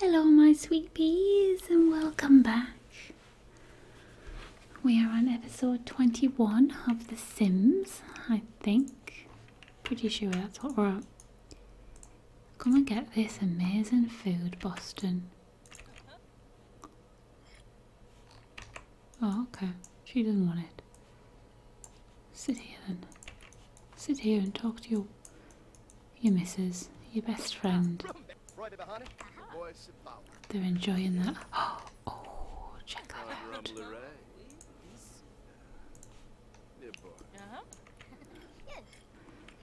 Hello, my sweet peas, and welcome back. We are on episode 21 of The Sims, I think. Pretty sure that's what we're at. Come and get this amazing food, Boston. Oh, okay. She doesn't want it. Sit here then. Sit here and talk to your your missus, your best friend. They're enjoying that. Oh, check that out.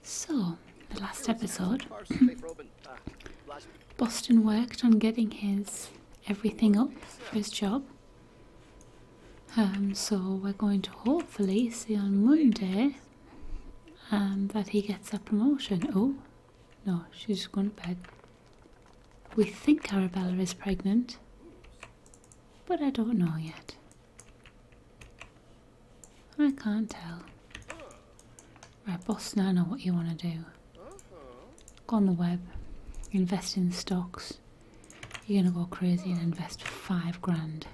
So, the last episode, ah, Boston worked on getting his everything up for his job. Um, so we're going to hopefully see on Monday um, that he gets a promotion. Oh, no, she's gone to bed. We think Arabella is pregnant, but I don't know yet. I can't tell. Right, boss, now I know what you want to do. Go on the web, invest in stocks. You're going to go crazy and invest five grand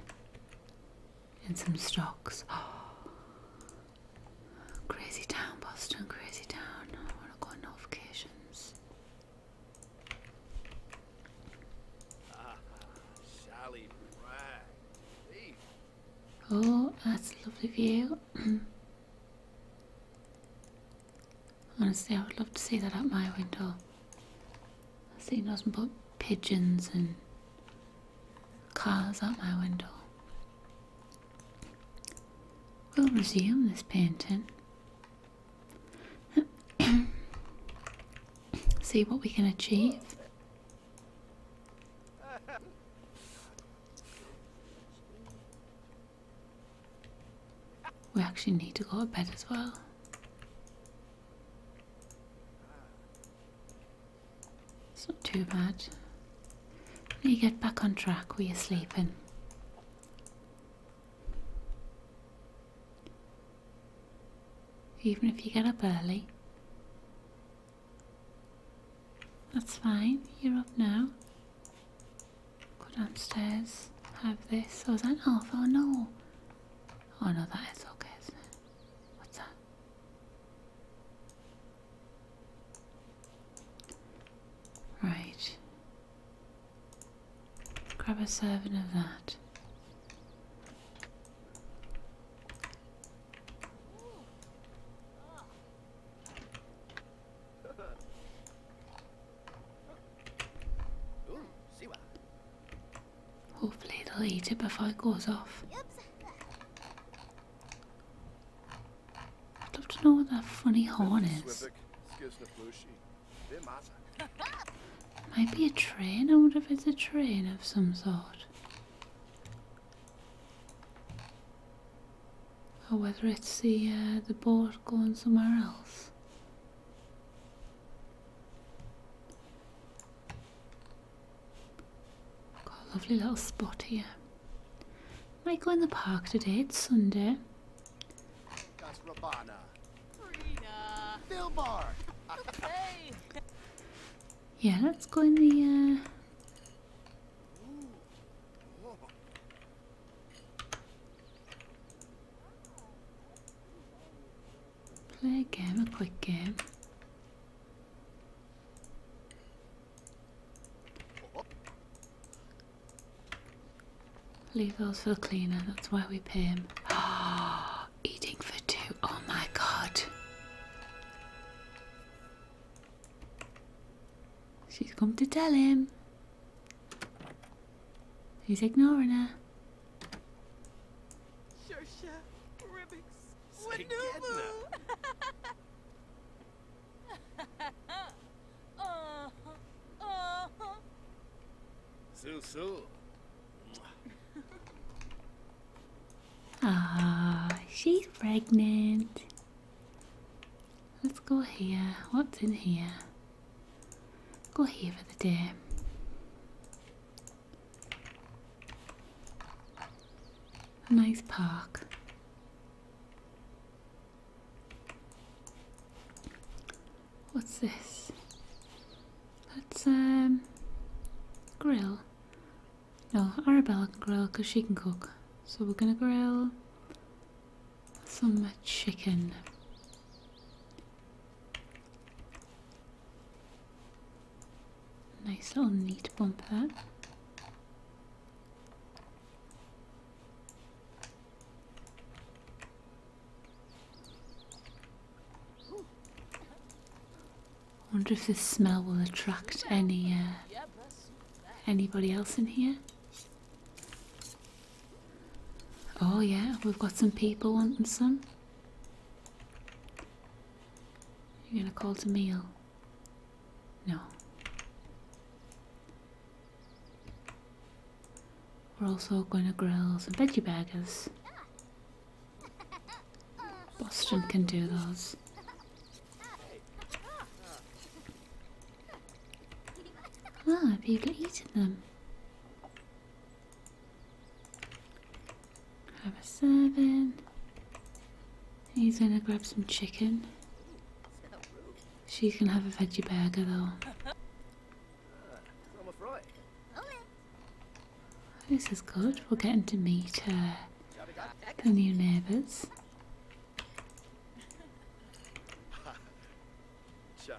and some stocks. Oh. Crazy town, Boston, crazy town. I want to go notifications. Ah, oh, that's a lovely view. Honestly, I would love to see that at my window. He doesn't put pigeons and cars out my window. We'll resume this painting. See what we can achieve. We actually need to go to bed as well. It's not too bad. You get back on track where you're sleeping. Even if you get up early. That's fine, you're up now. Go downstairs, have this. I was that oh, oh no. Oh no, that is okay, is What's that? Right. Grab a serving of that. Mm, Hopefully they'll eat it before it goes off. I'd love to know what that funny horn is. Might be a train, I wonder if it's a train of some sort. Or whether it's the, uh, the boat going somewhere else. Got a lovely little spot here. Might go in the park today, it's Sunday. Yeah, let's go in the uh, Play a game, a quick game. Leave those for the cleaner, that's why we pay him. Eating for two, oh my god. She's come to tell him. He's ignoring her. Shersha, Ribbix, Wanumu! uh, Ah, she's pregnant. Let's go here. What's in here? Go here for the deer. A nice park. What's this? That's um grill. Oh, Arabella can grill because she can cook. So we're gonna grill some chicken. Nice little neat bumper. Wonder if this smell will attract any uh, anybody else in here. Oh yeah, we've got some people wanting some. You're gonna call to meal? No. We're also gonna grill some veggie burgers. Boston can do those. Ah, people eating them. Have a seven. He's gonna grab some chicken. She can have a veggie burger though. This is good. We're getting to meet uh, the new neighbours.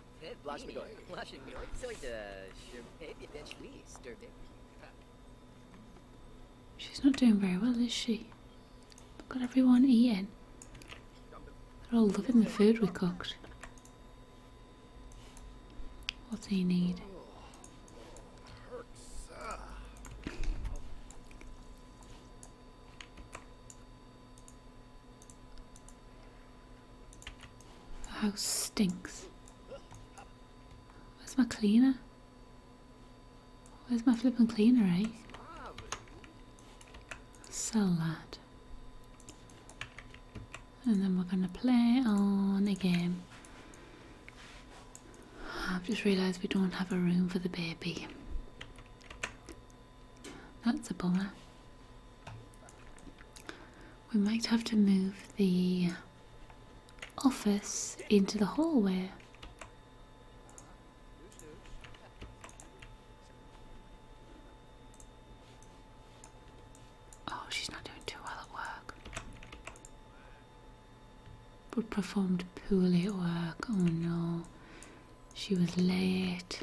She's not doing very well, is she? Look at everyone eating. They're all loving the food we cooked. What do you need? The oh, house stinks. Where's my cleaner? Where's my flipping cleaner, eh? Sell that. And then we're gonna play on again. I've just realised we don't have a room for the baby. That's a bummer. We might have to move the office into the hallway. Oh, she's not doing too well at work. performed poorly at work. Oh no. She was late.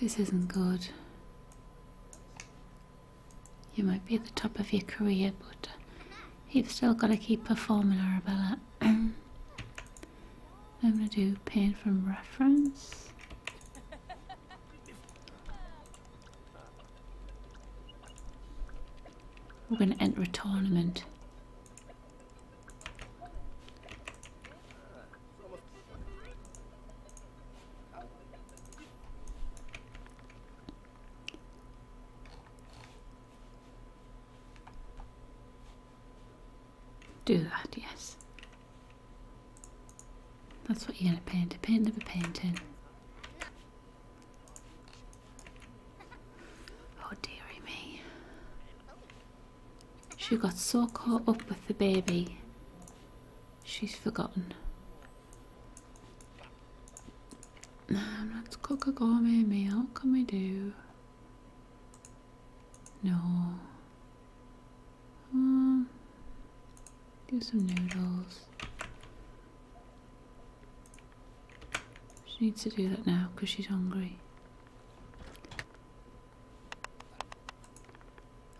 This isn't good. You might be at the top of your career, but you've still got to keep performing, Arabella. I'm going to do paint from reference. We're going to enter a tournament. Do that, yes. That's what you're going to paint, a paint of a painting. Oh dearie me. She got so caught up with the baby, she's forgotten. Um, let's cook a gourmet meal. can we do? No. Um, do some noodles. She needs to do that now because she's hungry.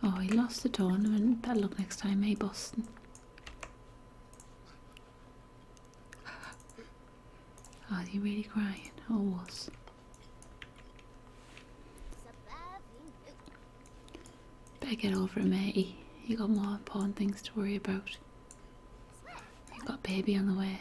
Oh, he lost the tournament. Better luck next time, eh, Boston? Are oh, you really crying? Or oh, was? Better get over it, matey. You got more important things to worry about. You got baby on the way.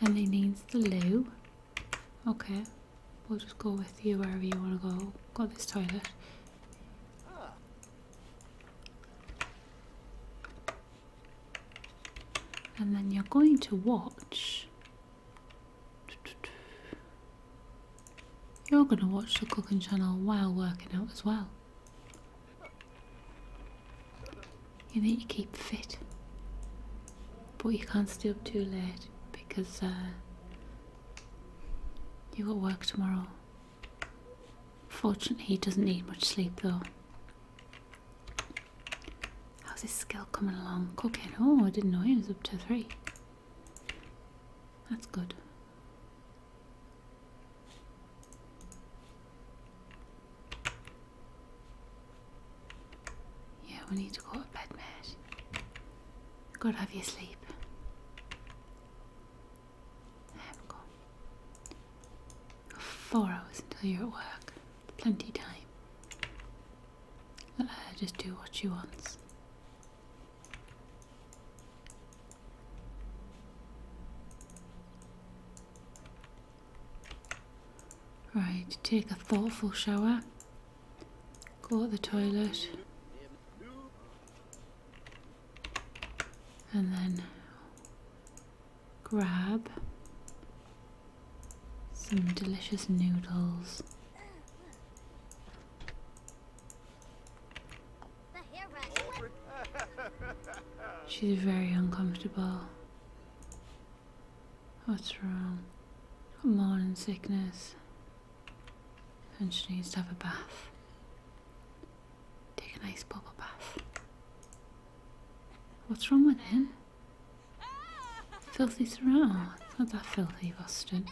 and he needs the loo okay we'll just go with you wherever you want to go got this toilet and then you're going to watch you're going to watch the cooking channel while working out as well. You need to keep fit, but you can't stay up too late because uh, you got work tomorrow. Fortunately, he doesn't need much sleep though. How's his skill coming along? Cooking? Oh, I didn't know he was up to three. That's good. Yeah, we need to go to bed, mate. Gotta have your sleep. There we go. Four hours until you're at work. Plenty time. Let uh, her just do what she wants. Right, take a thoughtful shower, go to the toilet, and then grab some delicious noodles. She's very uncomfortable. What's wrong? Morning sickness. And she needs to have a bath. Take a nice bubble bath. What's wrong with him? Ah! Filthy surround. Not that filthy bastard.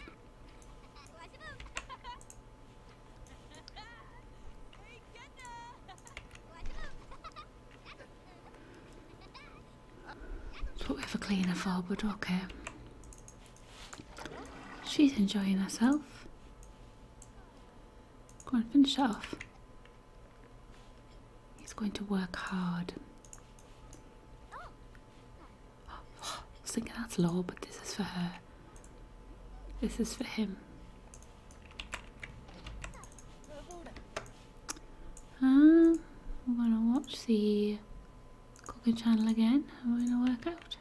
What we have a cleaner forward, okay. She's enjoying herself. Go and finish off. He's going to work hard. I was thinking that's law, but this is for her. This is for him. Um, we're gonna watch the cooking channel again we're gonna work out.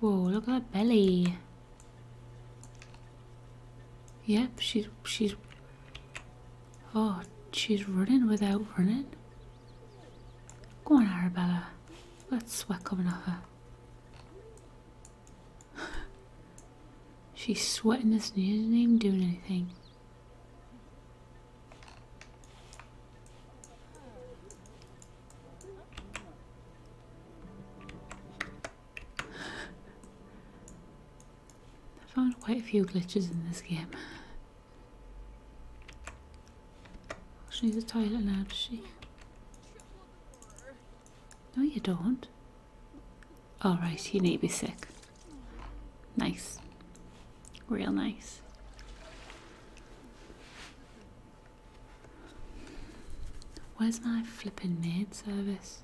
Whoa, look at that belly. Yep, she's she's oh she's running without running. Come on, Arabella. That's sweat coming off her. She's sweating this and isn't even doing anything. I found quite a few glitches in this game. She needs a toilet now, does she? No, you don't. Alright, you need to be sick. Nice. Real nice. Where's my flippin' maid service?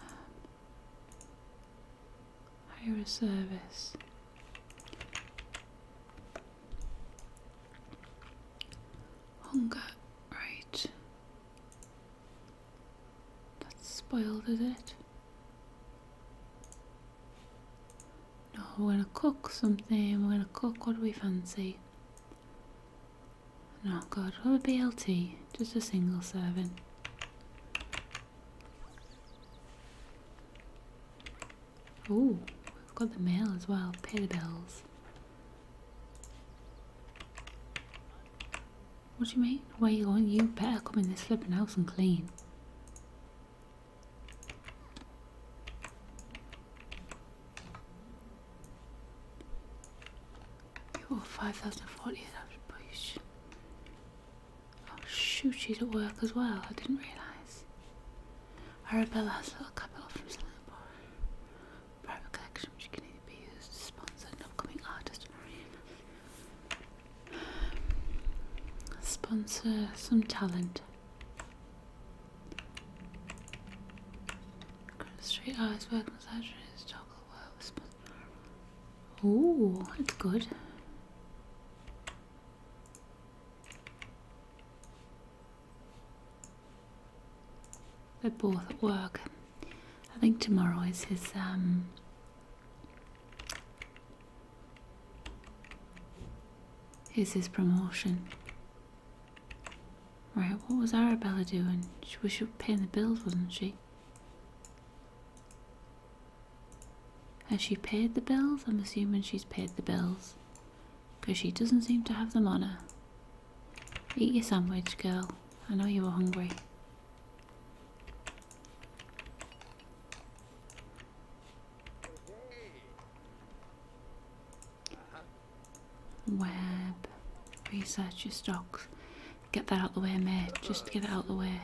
Um, hire a service. Hunger, right. That's spoiled, is it? No, we're gonna cook something. We're gonna cook what do we fancy. Not God, What a BLT? Just a single serving. Oh, we've got the mail as well. Pay the bills. What do you mean? Where you going? You better come in this flipping house and clean. You owe 5,040 that Oh shoot, she's at work as well. I didn't realise. Arabella has a little capital from selling private collection which can either be used to sponsor an upcoming artist or sponsor some talent. Street artist work massageries, chocolate work, sponsor Oh, that's good. They're both at work. I think tomorrow is his um is his promotion. Right, what was Arabella doing? She was paying the bills, wasn't she? Has she paid the bills? I'm assuming she's paid the bills. Because she doesn't seem to have them on her. Eat your sandwich, girl. I know you were hungry. Web. Research your stocks. Get that out the way, mate. Just get it out the way.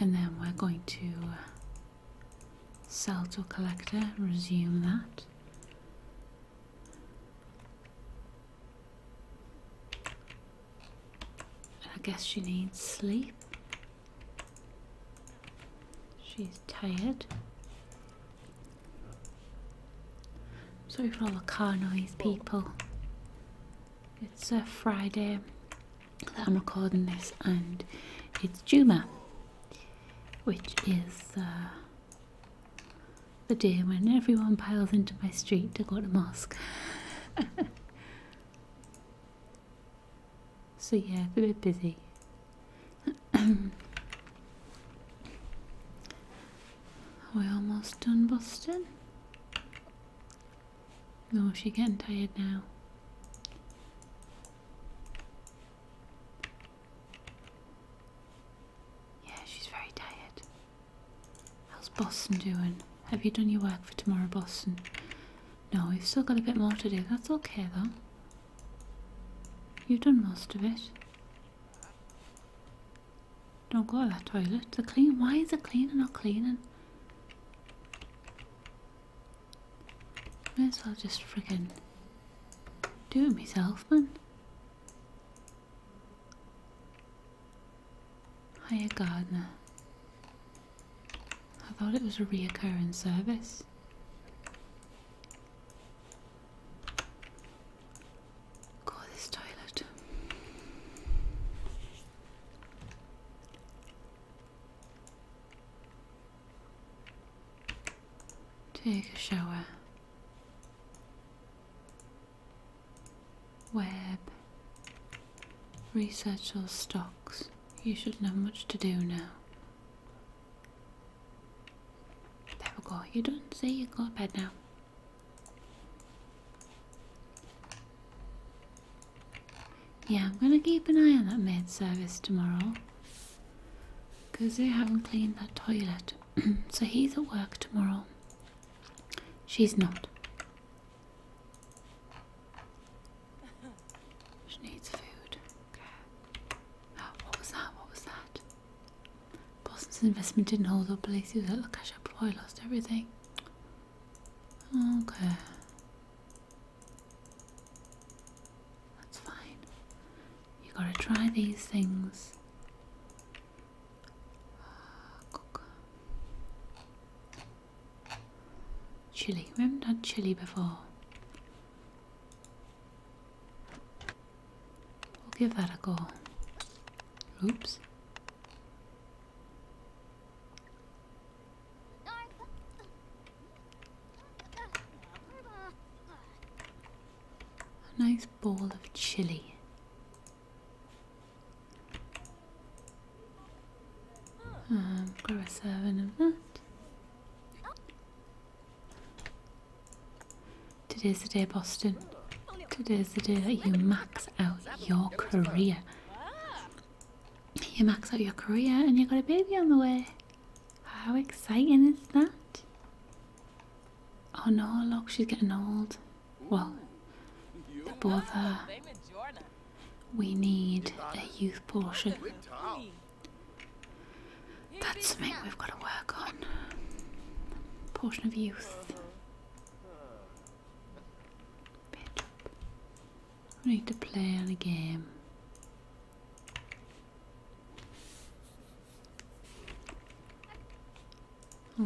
And then we're going to sell to a collector, resume that. I guess she needs sleep. She's tired. Sorry for all the car noise, people. It's a Friday that I'm recording this, and it's Juma, which is uh, the day when everyone piles into my street to go to mosque. so, yeah, it's a bit busy. we almost done busting. No, she's getting tired now. Yeah, she's very tired. How's Boston doing? Have you done your work for tomorrow, Boston? No, we've still got a bit more to do. That's okay though. You've done most of it. Don't go to that toilet. The clean. Why is it cleaning not cleaning? May as well just fricking do it myself, man. Hiya, gardener. I thought it was a reoccurring service. Go this toilet. Take a shower. Web. Research all stocks. You shouldn't have much to do now. There we go. You don't say you go to bed now. Yeah, I'm gonna keep an eye on that maid service tomorrow. Because they haven't cleaned that toilet. so he's at work tomorrow. She's not. She needs food. what was that? What was that? Boston's investment didn't hold up. Lacey was out of cash up before I lost everything. Okay. That's fine. You gotta try these things. Cook. Chili. We haven't done chili before. We'll give that a go. Oops. A nice bowl of chili. Um, grab a serving of that. Today's the day, Boston. Today's the day that you max out your career. You max out your career and you got a baby on the way. How exciting is that? Oh no, look, she's getting old. Well, they both We need a youth portion. That's something we've got to work on. Portion of youth. Pitch up. We need to play on a game.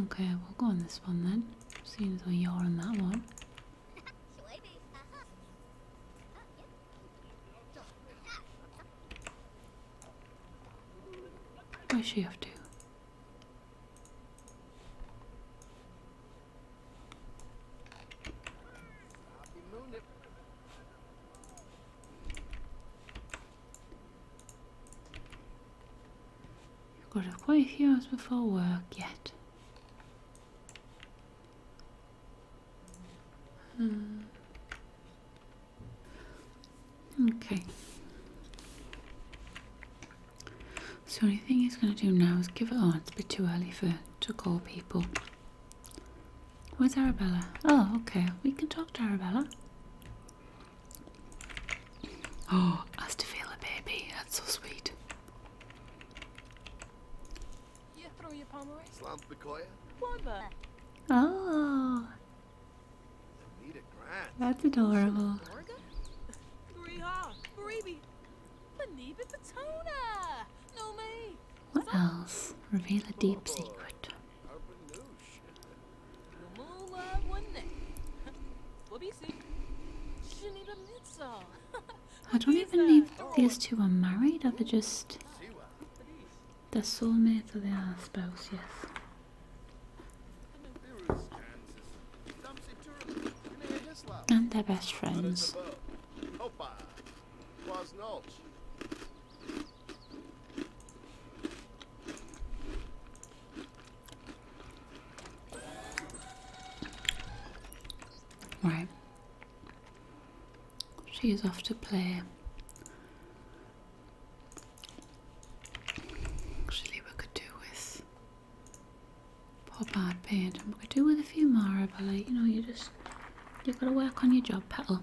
Okay, we'll go on this one then. Seeing as we are on that one. Uh-huh. Oh, Where's she have to? I've Got quite a few hours before work yet. Hmm. Okay. So the only thing he's going to do now is give it on. It's a bit too early for to call people. Where's Arabella? Oh, okay. We can talk to Arabella. Oh, has to feel a baby. That's so sweet. Oh. That's adorable. What else? Reveal a deep secret. I don't even know if these two are married or they just the are soulmates, of they are, yes. And their best friends. Right. is off to play Actually, we could do with pop art paint, and we could do with a few more. But like, you know, you just you've got to work on your job, petal.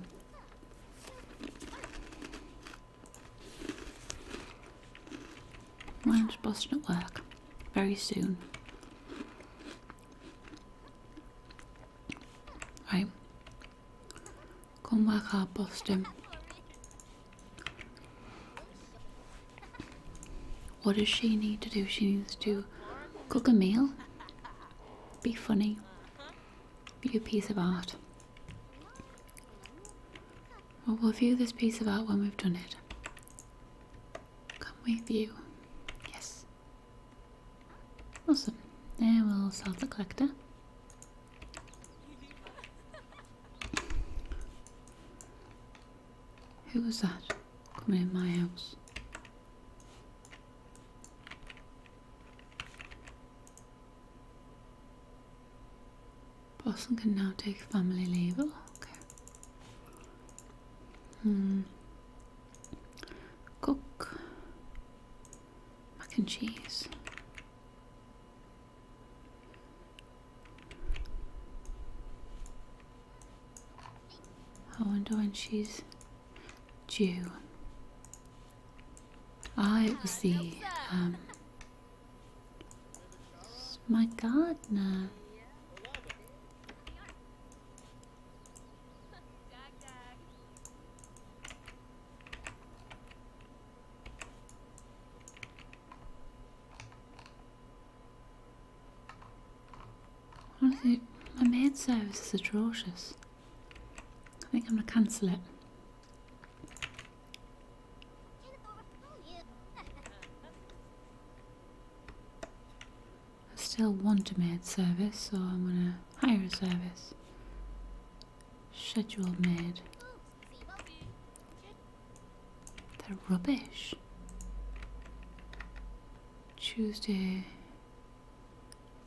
Mine's busting at work very soon. Right, Come Kom maar Boston. What does she need to do? She needs to cook a meal, be funny, be a piece of art. Well, we'll view this piece of art when we've done it. Come with you. Yes. Awesome. There we'll sell the collector. Who was that coming in my house? Boston can now take family leave. Oh, okay. Hmm. Cook. Mac and cheese. I wonder when she's due. Ah, it was the um, my gardener. Honestly, my maid service is atrocious. I think I'm gonna cancel it. I still want a maid service, so I'm gonna hire a service. Schedule made. They're rubbish. Tuesday,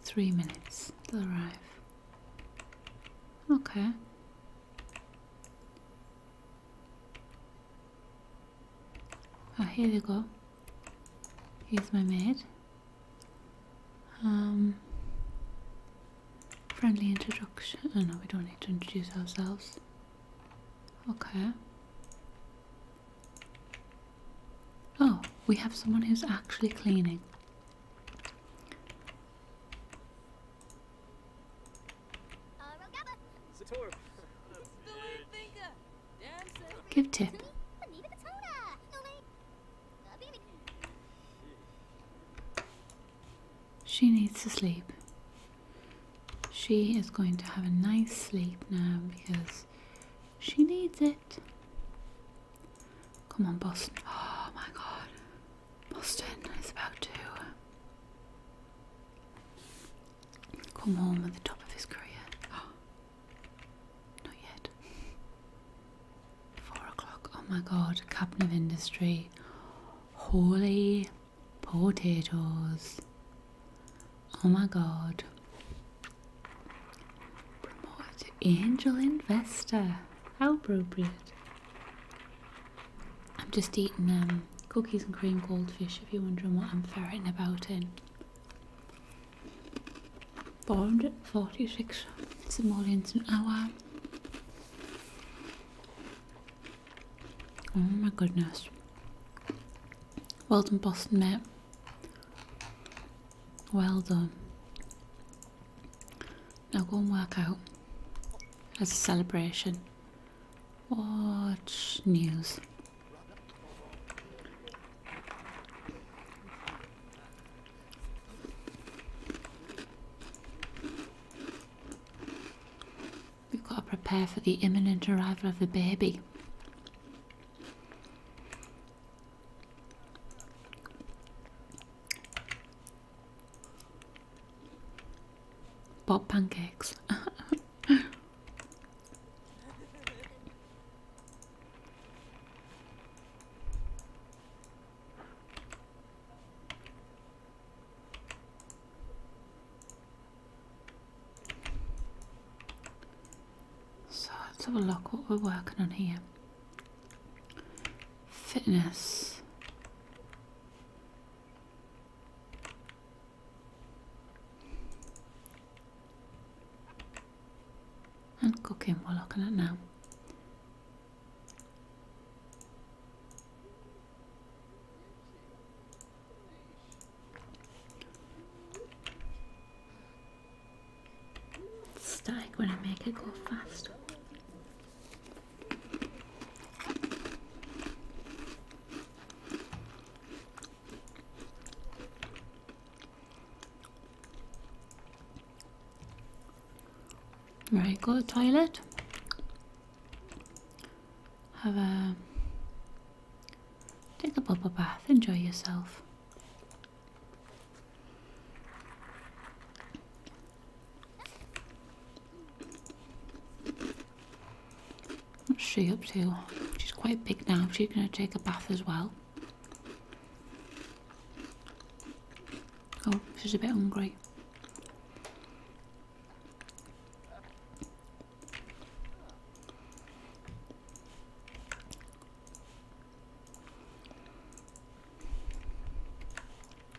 three minutes. They'll arrive. Okay. Ah, oh, here they go. Here's my maid. Um, friendly introduction. Oh no, we don't need to introduce ourselves. Okay. Oh, we have someone who's actually cleaning. Uh, Give tip. She needs to sleep. She is going to have a nice sleep now because she needs it. Come on, Boston. Oh my god. Boston is about to come home at the top of his career. Not yet. Four o'clock. Oh my god. Cabinet of Industry. Holy potatoes. Oh my god. Promote angel investor. How appropriate. I'm just eating um, cookies and cream goldfish if you're wondering what I'm ferreting about in. 446 It's more than an hour. Oh my goodness. Well done, Boston, mate. Well done. Now go and work out as a celebration. Watch news. We've got to prepare for the imminent arrival of the baby. Bob pancakes. So let's have a look what we're working on here. Fitness and cooking. We're looking at now. Static when I make it go fast. Right, go to toilet. Have a take a bubble bath, enjoy yourself. What's she up to? She's quite big now. She's going to take a bath as well. Oh, she's a bit hungry.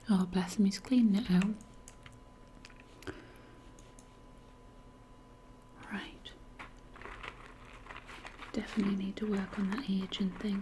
Oh, bless him, he's cleaning it Right. Definitely need to work on that aging thing.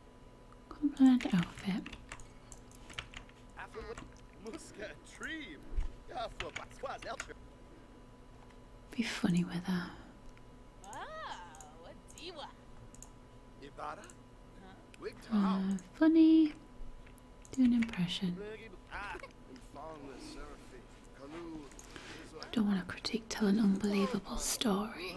Compliment outfit. Be funny with her. funny. Do an impression. Don't want to critique, tell an unbelievable story.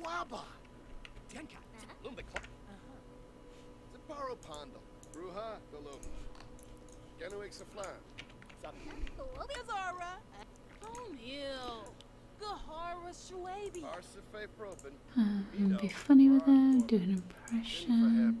Quaba! Tenka! Lumbakla! Zaparo Ruha, Bruja Galoba. Genoix Saflan. Azara! Tomil! Gahara Proben. Hmm, be funny with them, do an impression.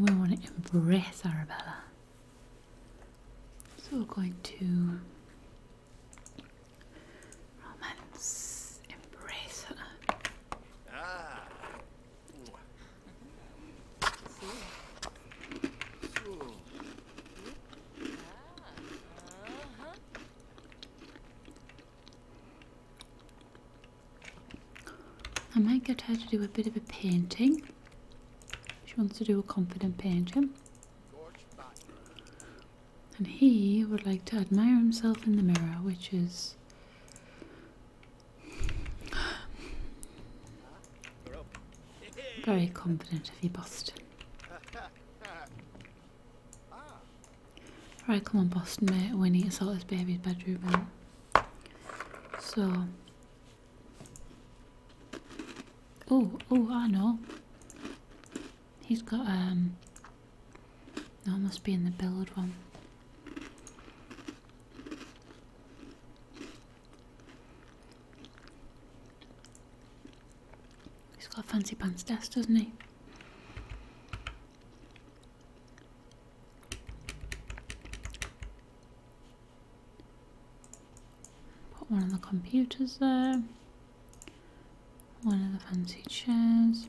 We want to embrace Arabella. So we're going to romance, embrace her. Ah. I might get her to do a bit of a painting. She wants to do a confident painting. And he would like to admire himself in the mirror, which is. Very confident if he busts. Right, come on, Boston mate. We need to sort this baby's bedroom out. So. Oh, oh, I know. He's got, um. That must be in the build one. He's got fancy pants desk, doesn't he? Put one of the computers there, one of the fancy chairs.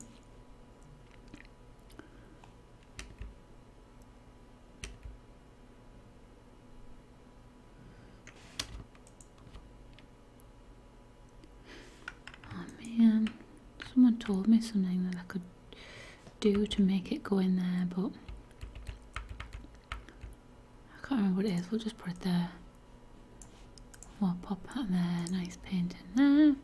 Oh man, someone told me something that I could do to make it go in there, but I can't remember what it is. We'll just put it there. we pop that there, nice paint in there.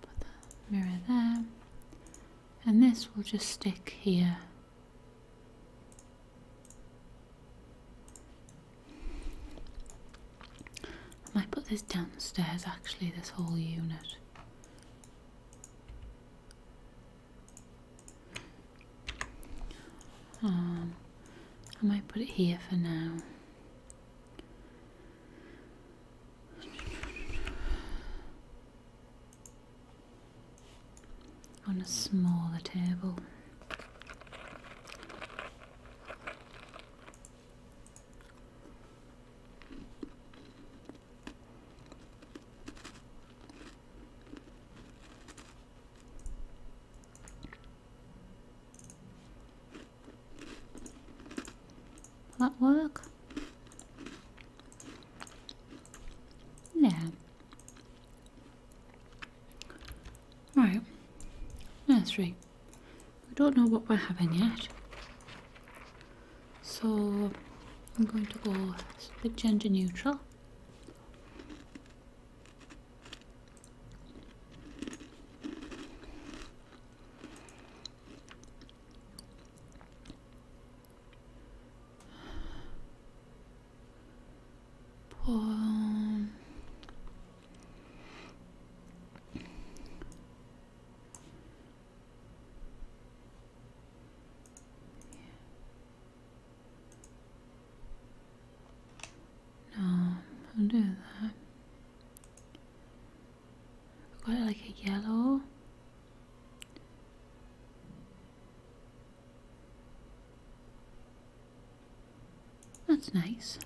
Put the mirror there. And this will just stick here. I might put this downstairs actually, this whole unit. Um, I might put it here for now on a smaller table. that work? Yeah. Right, nursery. We don't know what we're having yet. So I'm going to go a bit gender neutral por no, I'll do that. I've got like a yellow. That's nice.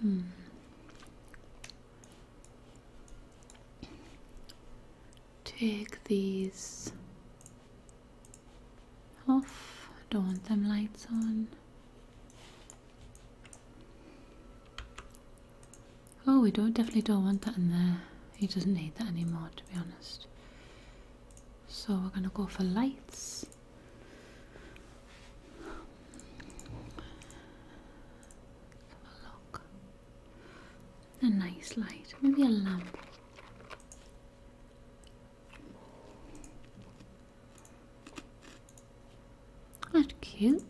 Hmm. Take these off. Don't want them lights on. Oh, we don't definitely don't want that in there. He doesn't need that anymore, to be honest. So we're gonna go for lights. Have a look. A nice light, maybe a lamp. That's cute.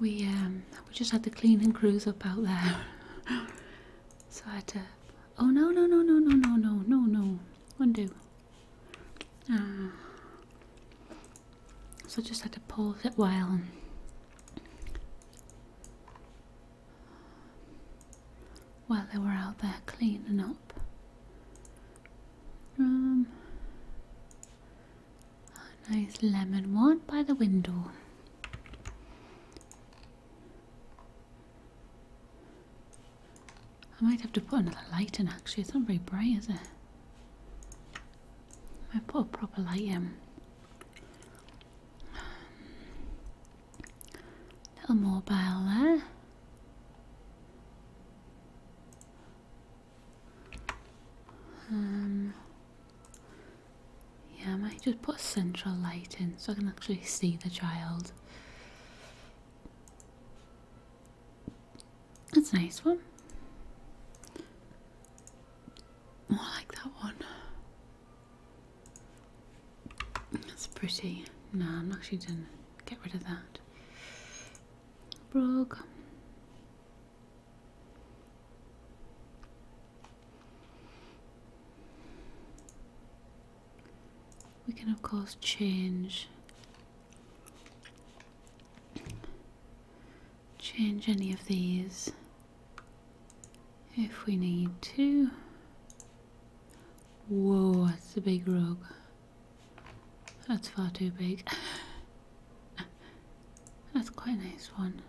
We um we just had the cleaning crews up out there, so I had to. Oh no no no no no no no no no undo. Ah. So I just had to pause it while. While they were out there cleaning up, a nice lemon one by the window. I might have to put another light in actually, it's not very bright is it? I put a proper light in. A mobile, there. Um, yeah, I might just put a central light in so I can actually see the child. That's a nice one. More oh, like that one. That's pretty. No, I'm actually done. Get rid of that. rug. We can of course change change any of these if we need to. Whoa, that's a big rug. That's far too big. That's quite a nice one.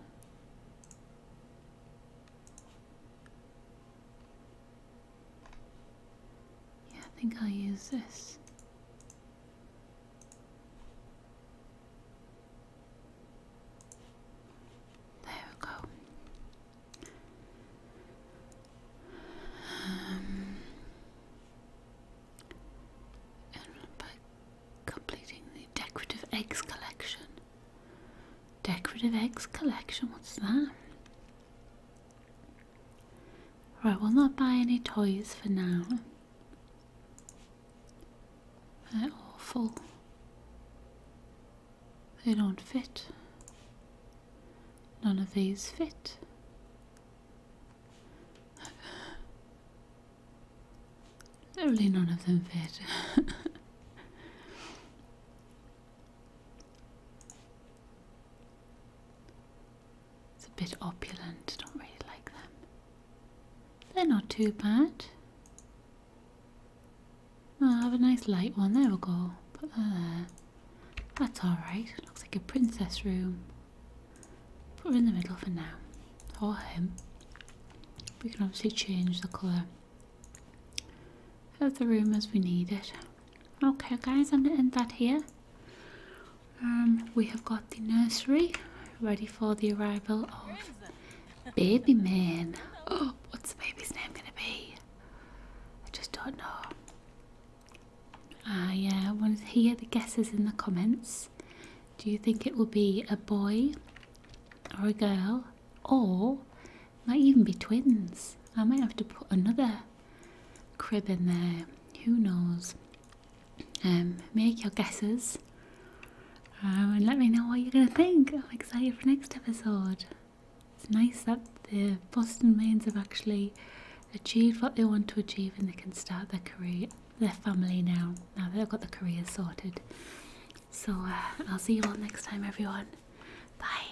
Yeah, I think I'll use this. There we go. Um, by completing the decorative eggs collection. Decorative eggs collection, what's that? Right, we'll not buy any toys for now. They're awful. They don't fit. None of these fit. Only none of them fit. it's a bit opulent, don't really like them. They're not too bad. I'll have a nice light one, there we go. Put that there. That's alright. Looks like a princess room. Put her in the middle for now. Or him. We can obviously change the colour of the room as we need it. Okay guys, I'm going to end that here. Um, we have got the nursery ready for the arrival of baby man. Oh, what's the baby's name going to be? I just don't know. Ah, I want to hear the guesses in the comments. Do you think it will be a boy or a girl? Or might even be twins. I might have to put another crib in there. Who knows? Um, make your guesses um, and let me know what you're going to think. I'm excited for next episode. It's nice that the Boston Mains have actually achieved what they want to achieve and they can start their career, their family now, now they've got the career sorted. So uh, I'll see you all next time, everyone. Bye.